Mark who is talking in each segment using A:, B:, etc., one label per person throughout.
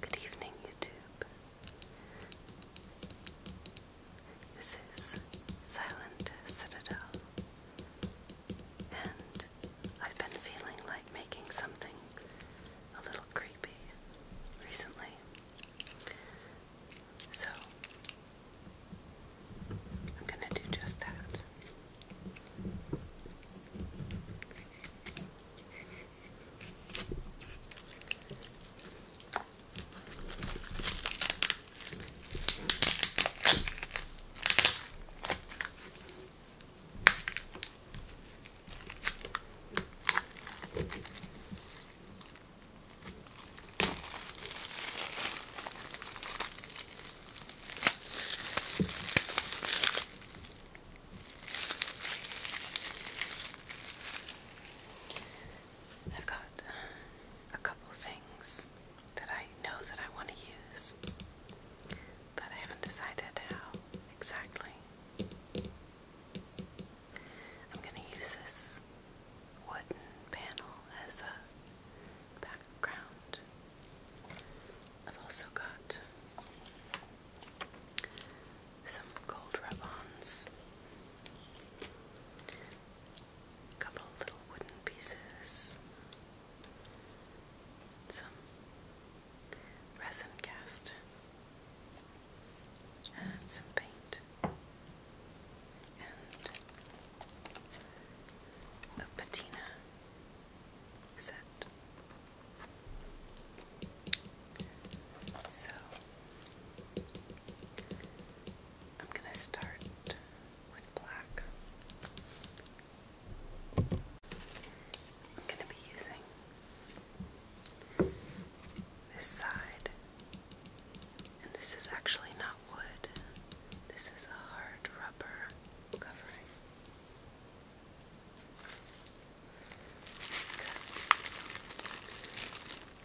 A: Good evening, YouTube. This is Silent Citadel, and I've been feeling like making something a little creepy recently. So, I'm going to do just that. I've got a couple things that I know that I want to use, but I haven't decided how exactly. I'm going to use this wooden panel as a background I've also got some gold ribbons, a couple little wooden pieces, some resin cast, and some paint, a patina set. So I'm going to start with black. I'm going to be using this side, and this is actually not wood, this is a hard rubber rubber covering.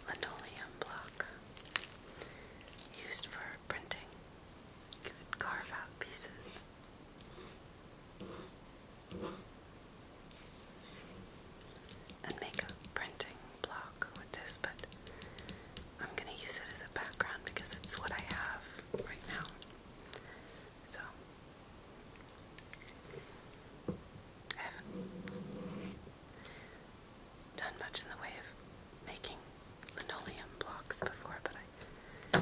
A: linoleum block used for printing. You could carve out pieces. And make a printing block with this, but I'm going to use it as a background because it's what I have right now. So, I haven't done much in the way of making linoleum blocks before, but I,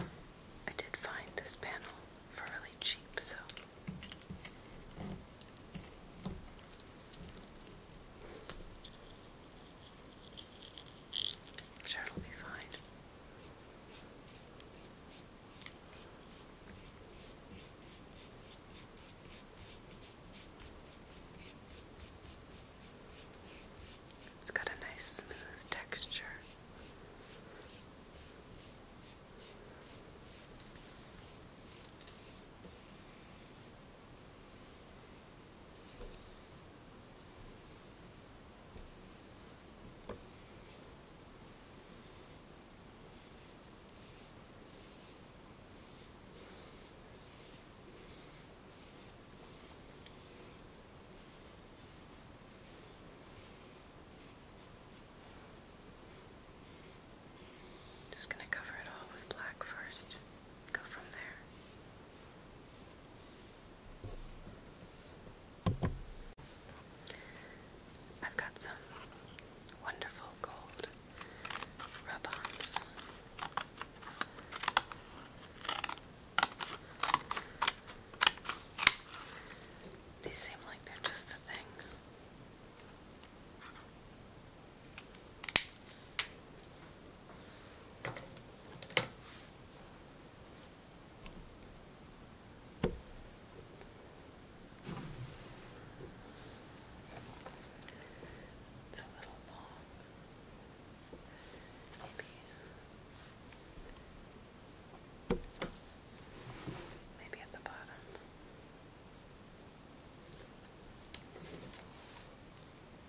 A: I did find this panel for really cheap, so. I'm sure be fine. It's got a nice smooth texture. Just going to cover it all with black first go I've got some wonderful gold rub ons. These seem like they're just the thing. It's a little long. Maybe, maybe at the bottom.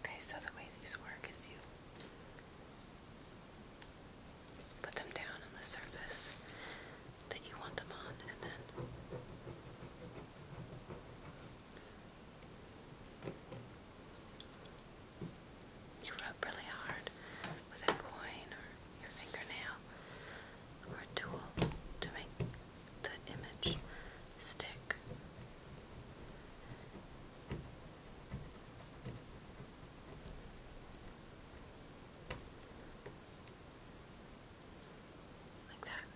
A: Okay, so the way these work is you put them down on the surface that you want them on, and then you rub really hard with a coin or your fingernail or a tool to make the image stick. Like that.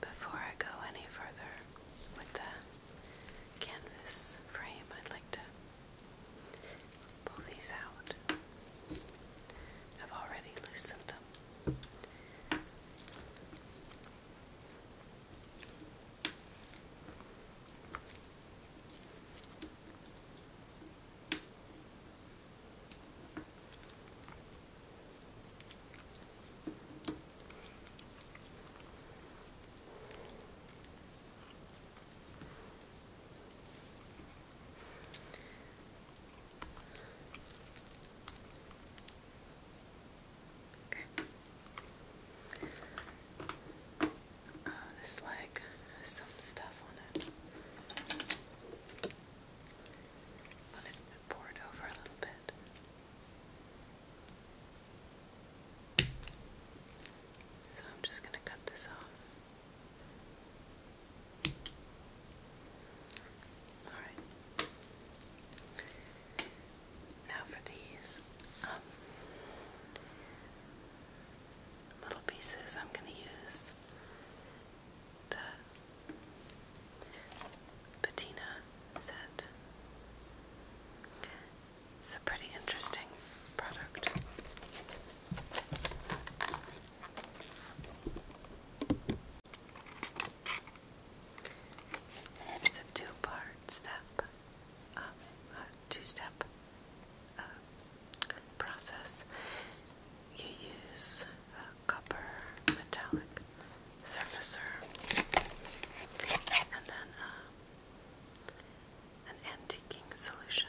A: Before I go any further with the canvas frame, I'd like to pull these out. I've already loosened them. Okay. Uh, this leg some stuff on it. Let it pour it over a little bit. So I'm just going to cut this off. Alright. Now for these um, little pieces, I'm going to use the patina set. It's a pretty interesting product. It's a two-part step, um, a two-step um, process. You use a copper metallic surfacer, and then uh, an antiquing solution.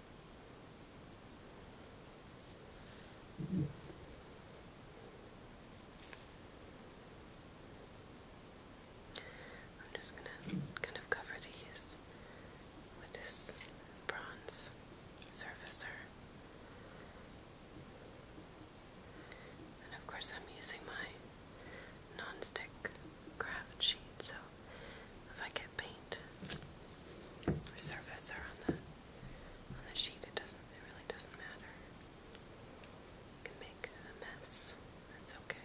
A: I'm just going to kind of cover these with this bronze surfacer. And of course, I'm using my non stick craft sheet, so if I get paint or surface on the on the sheet, it doesn't it really doesn't matter. You can make a mess. That's Okay.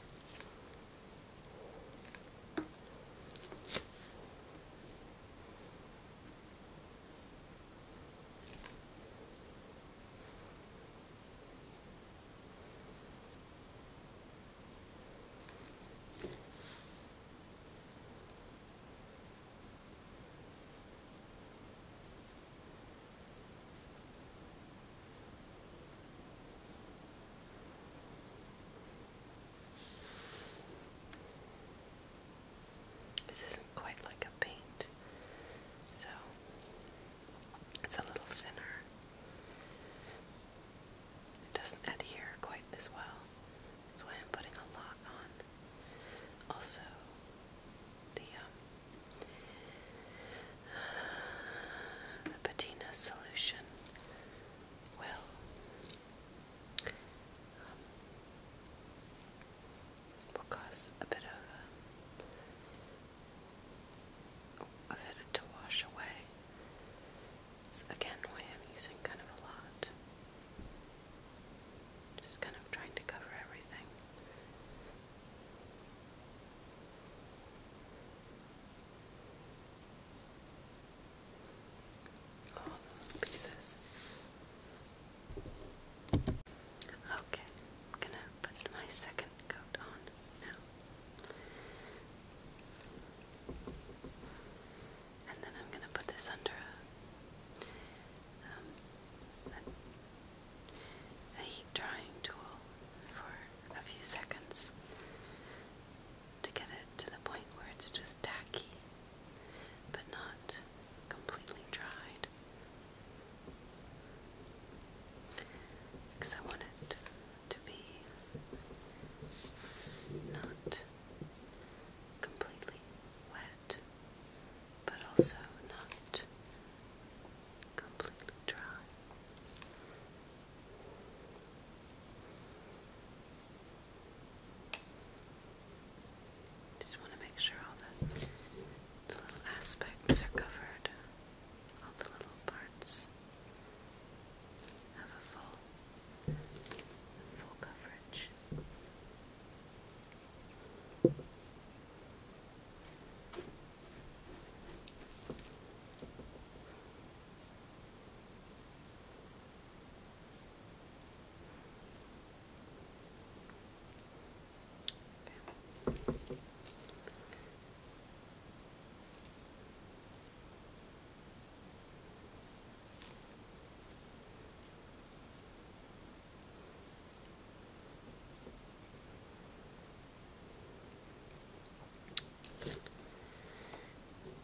A: This isn't quite like a paint, so it's a little thinner. It doesn't adhere quite as well. That's why I'm putting a lot on. Also, the um, the patina solution will um, will cause a bit of um, a bit to wash away. That's again why I'm using kind of a lot. Just kind of trying to cover everything. All the pieces. Okay, I'm gonna put my second coat on now and then I'm going to put this under um, a, a heat drying tool for a few seconds to get it to the point where it's just tacky but not completely dried because I want it to be not completely wet, but also not completely dry. Just want to make sure all the, little aspects are covered, all the little parts have a full full coverage.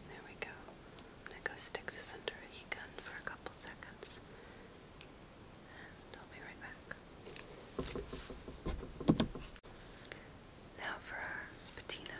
A: There we go. I'm going to go stick this under a heat gun for a couple seconds. And I'll be right back. Now for our patina.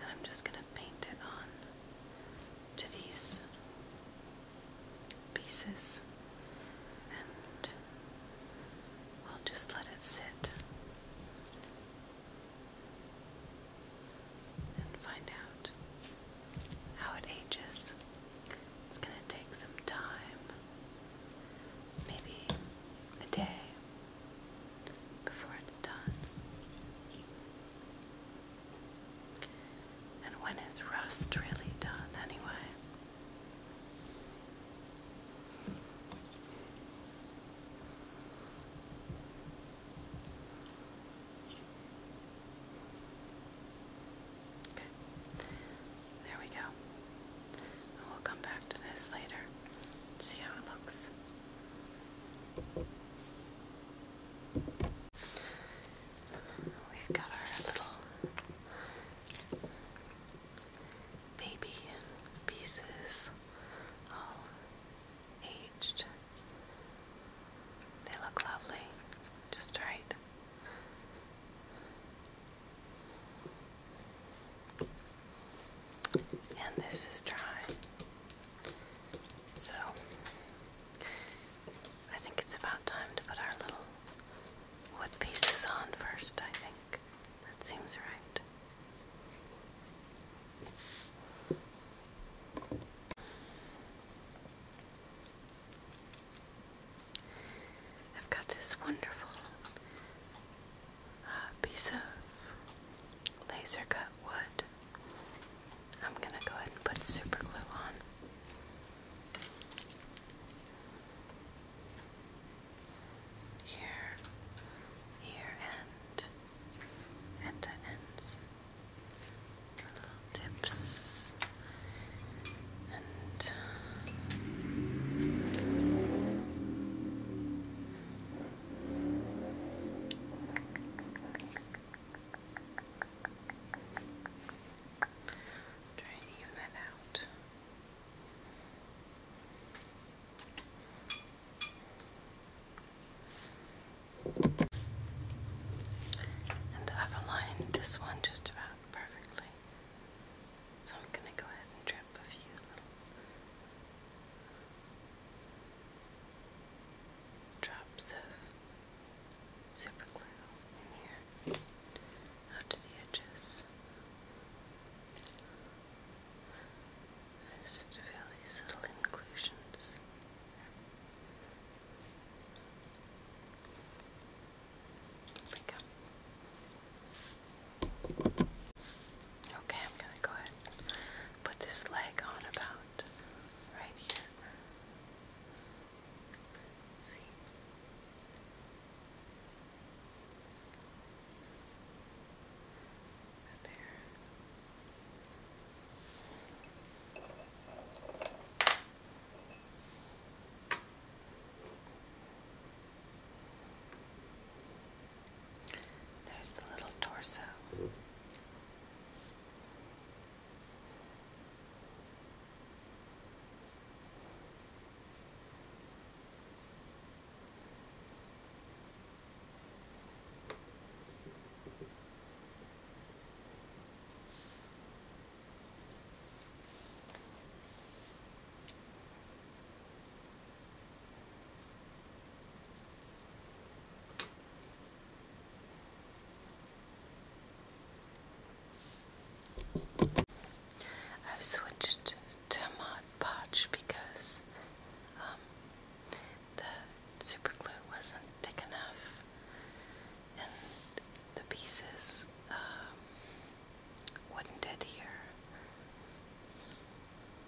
A: And I'm just going to paint it on to these pieces and we will just let it sit and find out how it ages. It's going to take some time, maybe a day before it's done. And when is rust really done, anyway? Okay, there we go. we'll come back to this later. See how it looks. We've got our little baby pieces all aged. They look lovely, just right and this is dry. So I think it's about time to put our little wood pieces on first, I think. That seems right. I've got this wonderful a piece of laser cut wood. I'm gonna go ahead and put super glue on. Here, here, and at the ends, little tips, and Try and even that out. And I've aligned this one just about perfectly. So I'm going to go ahead and trim grab a few little drops of super in here out to the edges. Just fill these little inclusions. There we go. Okay, I'm gonna go ahead put this leg on about right here. See? there. There's the little torso i switched to Mod Podge because um, the super glue wasn't thick enough and the pieces um, wouldn't adhere.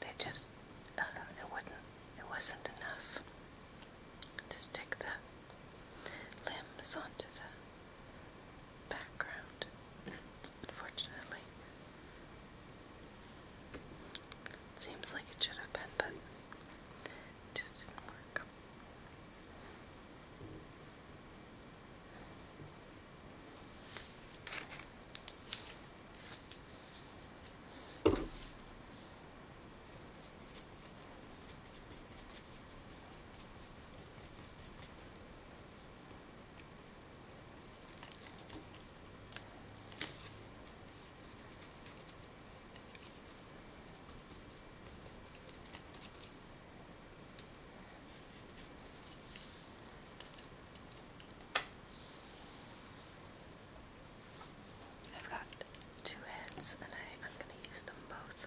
A: They just, it wouldn't, it wasn't enough to stick the limbs onto the background, unfortunately. Seems like it should have been, but just didn't work. I've got two heads and I, am going to use them both.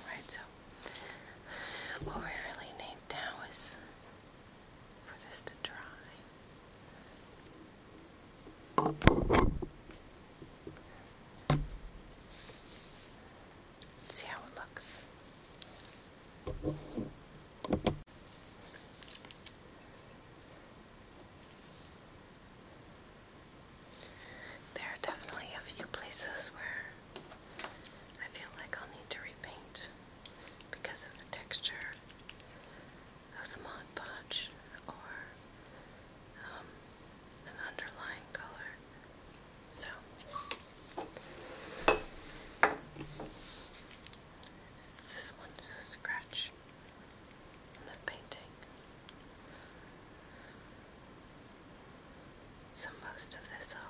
A: Alright, so what we really need now is See how it looks. There are definitely a few places where I feel like I'll need to repaint because of the texture of the Mod Podge or um, an underlying color. So, this one's a scratch on the painting. So most of this i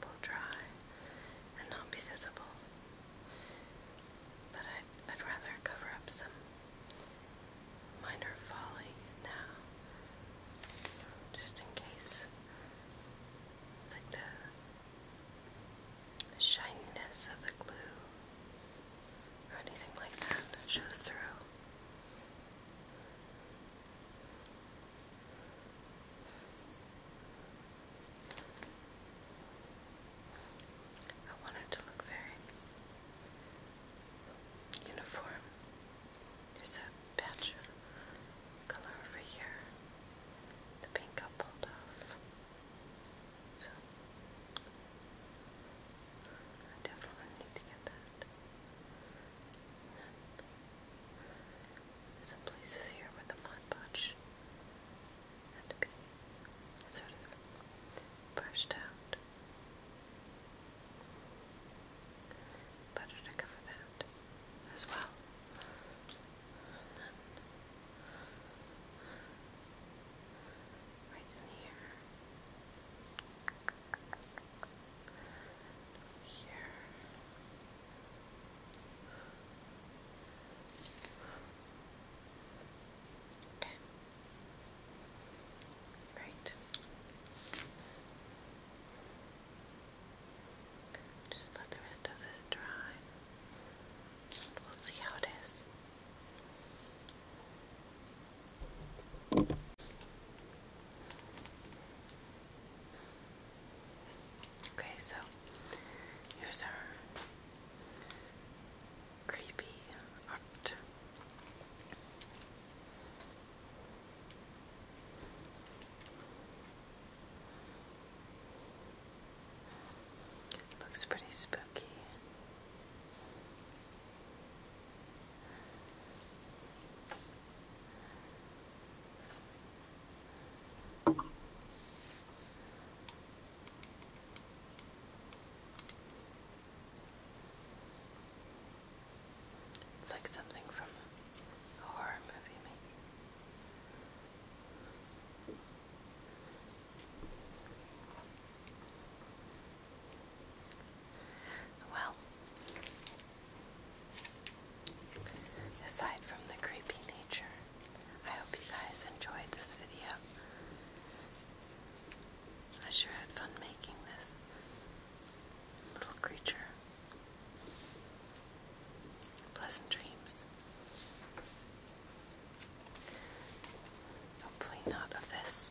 A: will dry and not be visible. But I'd, rather cover up some minor folly now, just in case. Like the, shininess of the glue or anything like that shows through. I want it to look very uniform. There's a patch of color over here. The pink got pulled off. So I definitely need to get that some places here where the Mod Podge had to be sort of brushed out. Better to cover that as well. right in here. Here. Okay. Right. Just let the rest of this dry. We'll see how it is. Okay, so here's our creepy art. Looks pretty spooky. It's like something from a horror movie, Well, Aside from the creepy nature, I hope you guys enjoyed this video. I sure had fun making this little creature. Pleasant dreams. Hopefully, not of this.